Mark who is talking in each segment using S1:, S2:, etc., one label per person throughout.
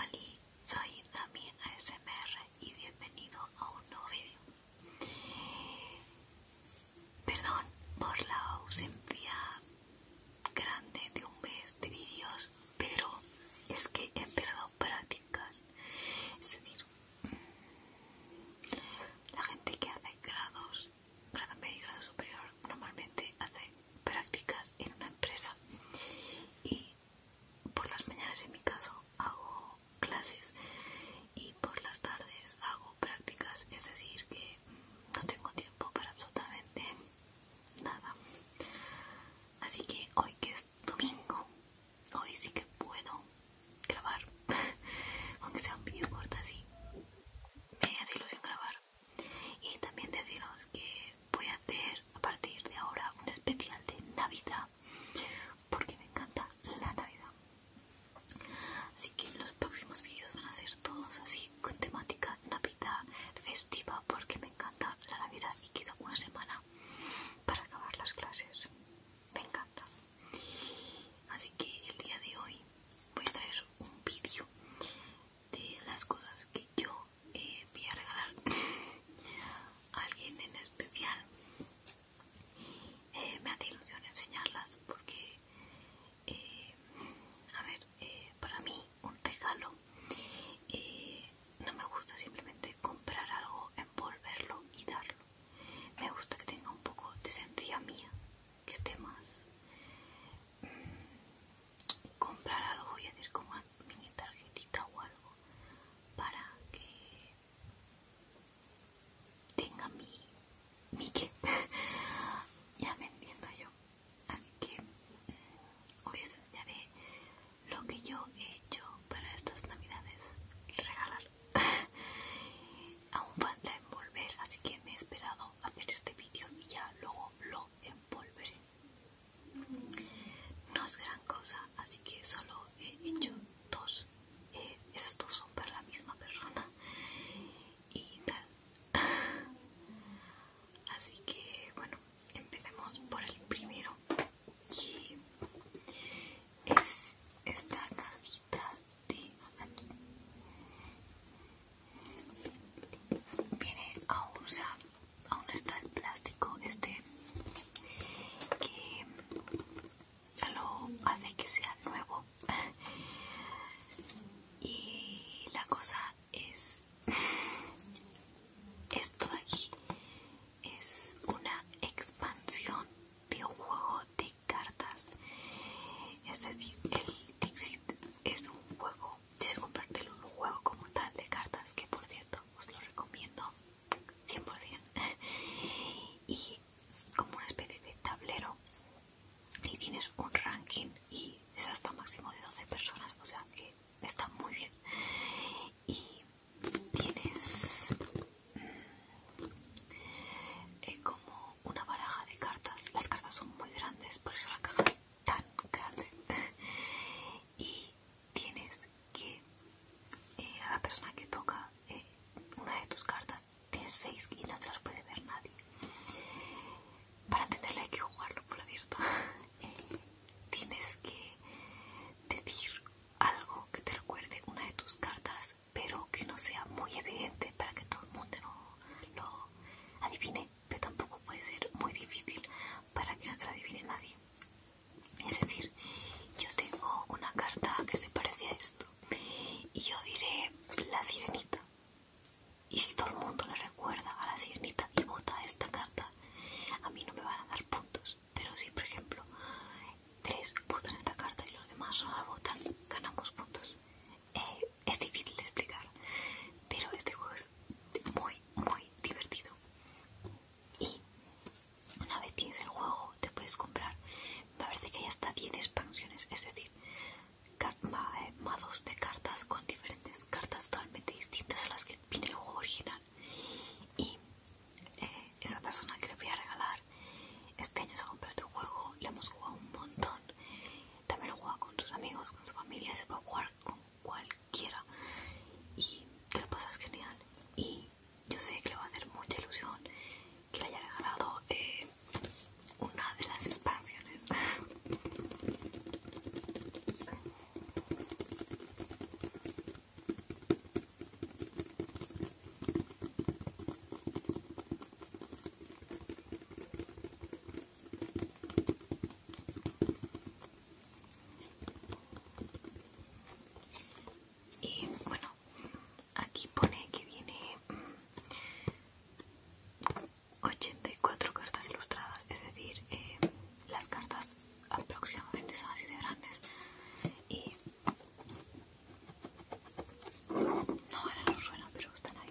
S1: Ali, soy Dami ASMR y bienvenido a un nuevo vídeo. Perdón por la ausencia grande de un mes de vídeos, pero es que he empezado prácticas. Es decir, mm, la gente que hace grados, grado medio grado superior, normalmente hace prácticas en una empresa y por las mañanas en mi caso hago clases y por las tardes hago prácticas, es decir que mm, no tengo tiempo para absolutamente nada. Así que hoy que es domingo, hoy sí que puedo grabar, aunque sea un video corto así. Me hace ilusión grabar. Y también deciros que voy a hacer a partir de ahora un especial de Navidad porque me encanta la Navidad. Así que los próximos vídeos van a ser todos así con temática Navidad festiva porque me encanta la Navidad y queda una semana para acabar las clases. Me encanta. Así que el día de hoy voy a traer un vídeo de las cosas que yo eh, voy a regalar a alguien en especial eh, me hace ilusión enseñarlas porque eh, a ver para mí un regalo no me gusta simplemente comprar algo envolverlo y darlo me gusta que tenga un poco de esencia mía que esté más mm, comprar algo y hacer como mini tarjetita o algo para que tenga mi mi que ya me entiendo yo así que mm, hoy os enseñaré lo que yo he hecho para estas navidades regalar aún falta envolver así que me he esperado hacer este vídeo y ya luego lo en No es gran cosa, así que solo he hecho dos. Eh, esas dos son para la misma persona. Y tal. Así que, bueno, empecemos por el primero. que es esta cajita de aquí. Viene aún, o aún está el plástico este que lo hace que sea nuevo. Y la cosa es esto de aquí es una expansión de un juego de cartas. Es decir, el Dixit es un juego, dice comprártelo un juego como tal de cartas, que por cierto os lo recomiendo 100%. Y es como una especie de tablero y tienes un ranking y es hasta un máximo de 12 personas, o sea que está muy bien. Y tienes mm, eh, como una baraja de cartas. Las cartas son muy grandes, por eso la caja es tan grande. y tienes que eh, a la persona que toca eh, una de tus cartas tiene seis y no te las puede ver nadie. Para entenderlo hay que jugarlo por la abierta. Eh, tienes que decir algo que te recuerde una de tus cartas pero que no sea muy evidente para que todo el mundo lo, adivine, pero tampoco puede ser muy difícil para que no te lo adivine nadie. Es decir, yo tengo una carta que se parece a esto y yo diré la sirenita. Y si todo el mundo le recuerda a la sirenita y vota esta carta, a mí no me van a dar puntos. Pero si, por ejemplo, tres votan esta carta y los demás no la votan, ganamos puntos. Eh, es difícil de explicar, pero este juego es muy, muy divertido. Y una vez tienes el juego, te puedes comprar. Me parece que hay hasta 10 expansiones, es decir, eh, mados de cartas con diferentes cartas totalmente distintas a las que viene el juego original. Y eh, esa persona que le voy a regalar este año se compró este juego, Le hemos jugado un montón. También lo juega con sus amigos, con su familia, se puede jugar con cualquiera. Y te lo pasas genial. Y yo sé que le va a hacer mucha ilusión que le haya regalado eh, una de las expansiones. Y bueno, aquí pone que viene 84 mm, cartas ilustradas, es decir, eh, las cartas aproximadamente son así de grandes y no, ahora no suena, pero están ahí.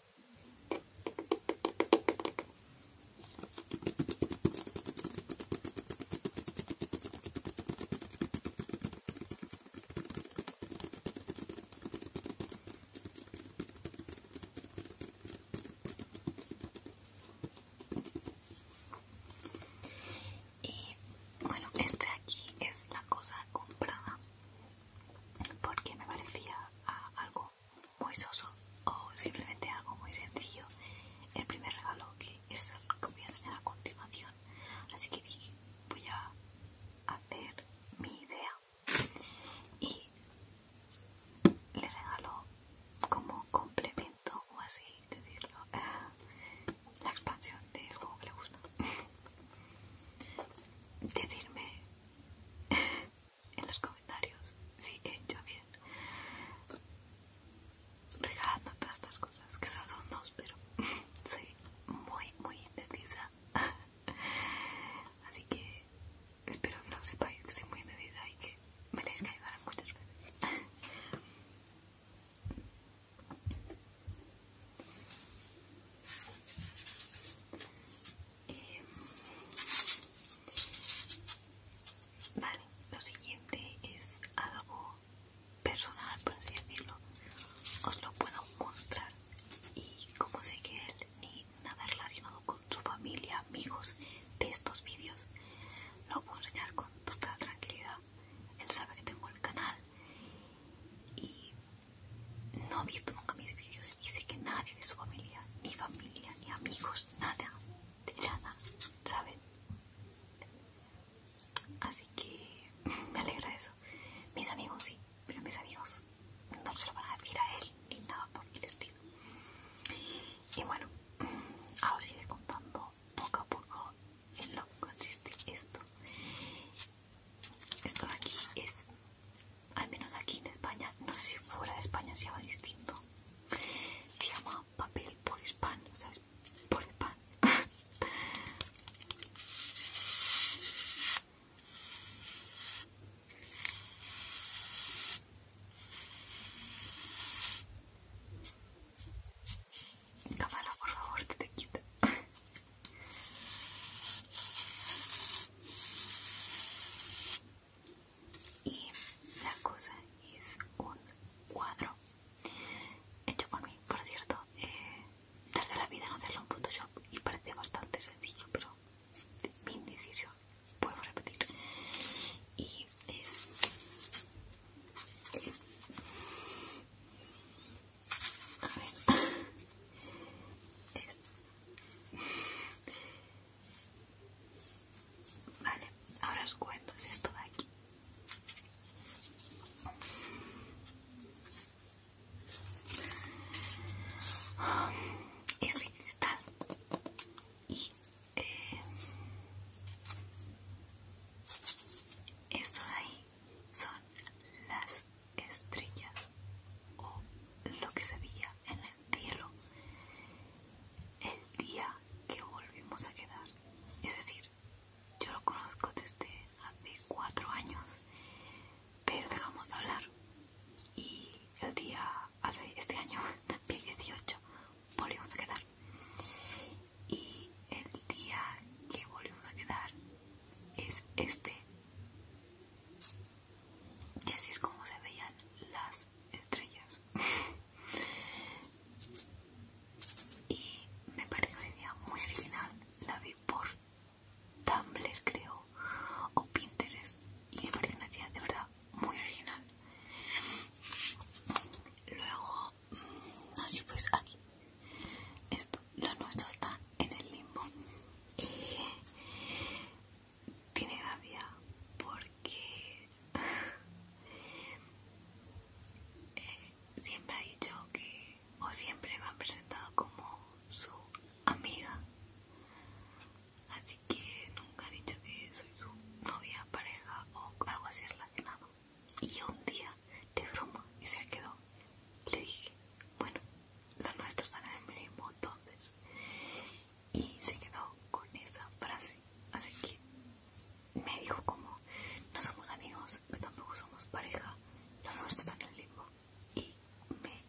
S1: Y bueno, este aquí es la cosa comprada porque me parecía algo muy soso o simplemente algo muy sencillo el primer regalo que es lo que voy a enseñar a continuación así que dije voy a hacer mi idea y le regalo como complemento o así decirlo eh, la expansión del juego que le gusta decirme en los comentarios si he hecho bien regalando todas estas cosas que son dos pero soy muy muy indecisa así que espero que lo sepáis que soy muy indecisa y que me tenéis que ayudar muchas veces Em, vale, lo siguiente es algo personal, por así decirlo. Os lo puedo mostrar. Y como sé que él ni nada relacionado con su familia, amigos de estos vídeos, lo puedo enseñar con total tranquilidad. Él sabe que tengo el canal y no ha visto nunca mis vídeos y sé que nadie de su familia, ni familia, ni amigos, nada, de nada, ¿saben? Así que me alegra eso. Mis amigos sí, pero mis amigos no se lo van a decir a él y nada por mi estilo. Y bueno, ahora os iré contando poco a poco en lo que consiste esto. Esto de aquí es, al menos aquí en España, no sé si fuera de España se llama distinto. Se llama papel por hispan, o sea, es por el pan. Cámara, por favor, te, te quita. Y la cosa es un cuadro hecho por mí, por cierto. tarde eh, la vida en hacerlo en Photoshop y parece bastante sencillo, pero mi indecisión, puedo repetir. Y es a ver. Vale, ahora os cuento, esto de aquí. Es cristal y eh, esto de ahí son las estrellas o lo que se veía en el cielo el día que volvimos a quedar. Es decir, yo lo conozco desde hace cuatro años, pero dejamos de hablar y el día hace este año, también 18, volvimos a quedar. Y el día que volvimos a quedar es este y así es como se veían las estrellas y me parece una idea muy original la vi por Tumblr creo o Pinterest y me parece una idea de verdad muy original luego mm, así pues aquí esto lo nuestro está en el limbo y tiene gracia porque eh, siempre ha dicho que o siempre me ha presentado como su amiga así que nunca ha dicho que soy su novia, pareja o algo así relacionado y un día, de broma, y se quedó, le dije, bueno, los nuestros están en el mismo entonces. Y se quedó con esa frase. Así que me dijo como, no somos amigos, pero tampoco somos pareja, los nuestros están en el mismo. Y me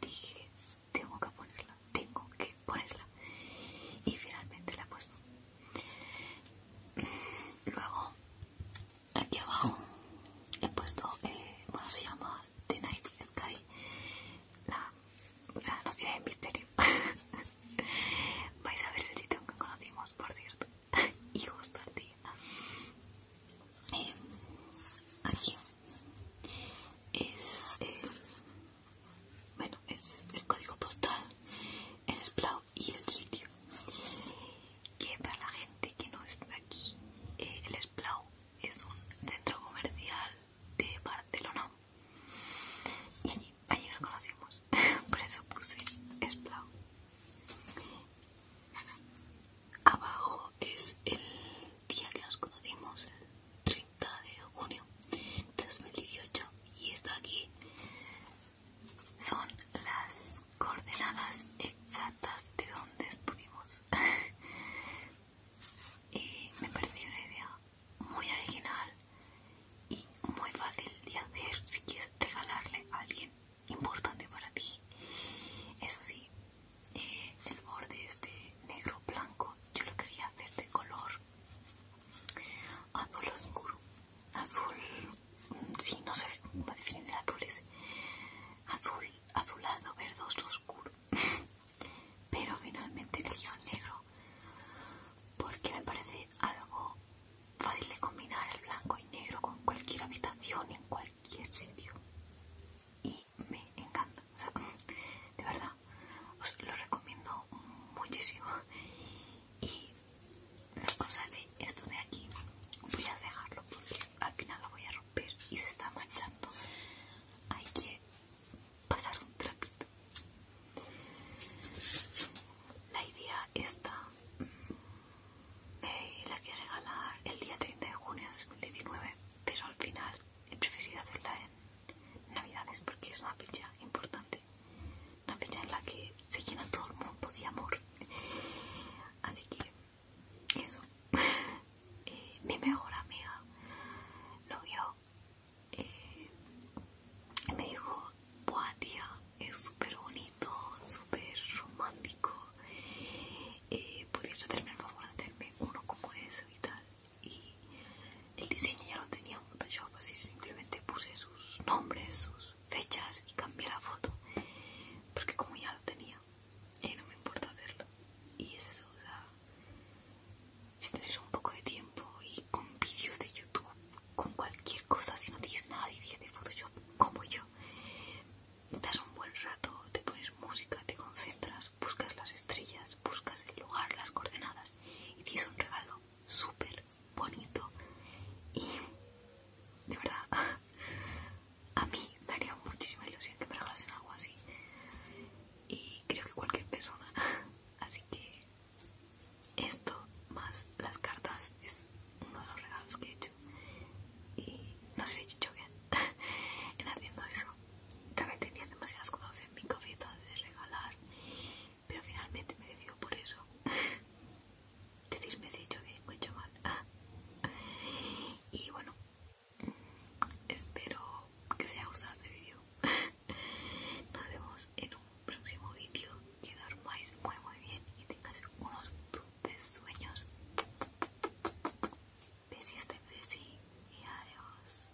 S1: dije, tengo que ponerla, tengo que ponerla. Y finalmente la he puesto. Luego aquí abajo he puesto, eh, bueno se llama The Night Sky, la, o sea, nos tiene misterio. Vais a ver el sitio que conocimos, por cierto, y justo eh, aquí es, eh, bueno, es el código postal, el Splau y el sitio que para la gente que no está aquí eh, el Esplau es un centro comercial de Barcelona y allí, allí nos conocimos por eso puse Esplau abajo es el día que nos conocimos el 30 de junio de 2018 y está aquí son las coordenadas exactas de donde estuvimos y me pareció una idea muy original y muy fácil de hacer si quieres regalarle a alguien importante para ti eso sí eh, el borde este negro blanco yo lo quería hacer de color azul oscuro azul Sí, no sé cómo definir el azul es azul, azulado, verdoso, oscuro. Pero finalmente elegí el negro porque me parece algo fácil de combinar el blanco y negro con cualquier habitación en cualquier sitio. Y me encanta. O sea, de verdad, os lo recomiendo muchísimo. Y la cosa de esto de aquí voy a dejarlo porque al final lo voy a romper y se está manchando hay que pasar un trapito la idea está mm, eh, la quería regalar el día 30 de junio de 2019 pero al final he preferido hacerla en navidades porque es una fecha importante una fecha en la que se llena todo el mundo de amor. Así que eso. Eh, mi mejor amiga lo vio eh, y me dijo, buah tía, es súper bonito, súper romántico. Eh, ¿podrías hacerme el favor de hacerme uno como ese y tal. Y el diseño ya lo tenía así pues simplemente puse sus nombres, sus fechas y cambié la foto. Porque como ya lo tenía, eh, no me importa hacerlo. Y es eso, o si tienes un poco de tiempo y con vídeos de YouTube, con cualquier cosa, si no tienes nada de de Photoshop como yo, das un buen rato, te pones música, te concentras, buscas las estrellas, buscas el lugar, las coordenadas y tienes un regalo súper bonito y de verdad a mí me daría muchísima ilusión que me regalasen algo así y creo que cualquier persona así que esto más las cartas es uno de los regalos que he hecho y no sé si he hecho bien en haciendo eso también tenía demasiadas cosas en mi cabeza de regalar pero finalmente me decido por eso. Decirme si he hecho bien o he hecho mal. Ah. Y bueno, espero que os haya gustado este vídeo. Nos vemos en un próximo vídeo. Que dormáis muy muy bien y tengáis unos dulces sueños. Besis de este, besi y adiós.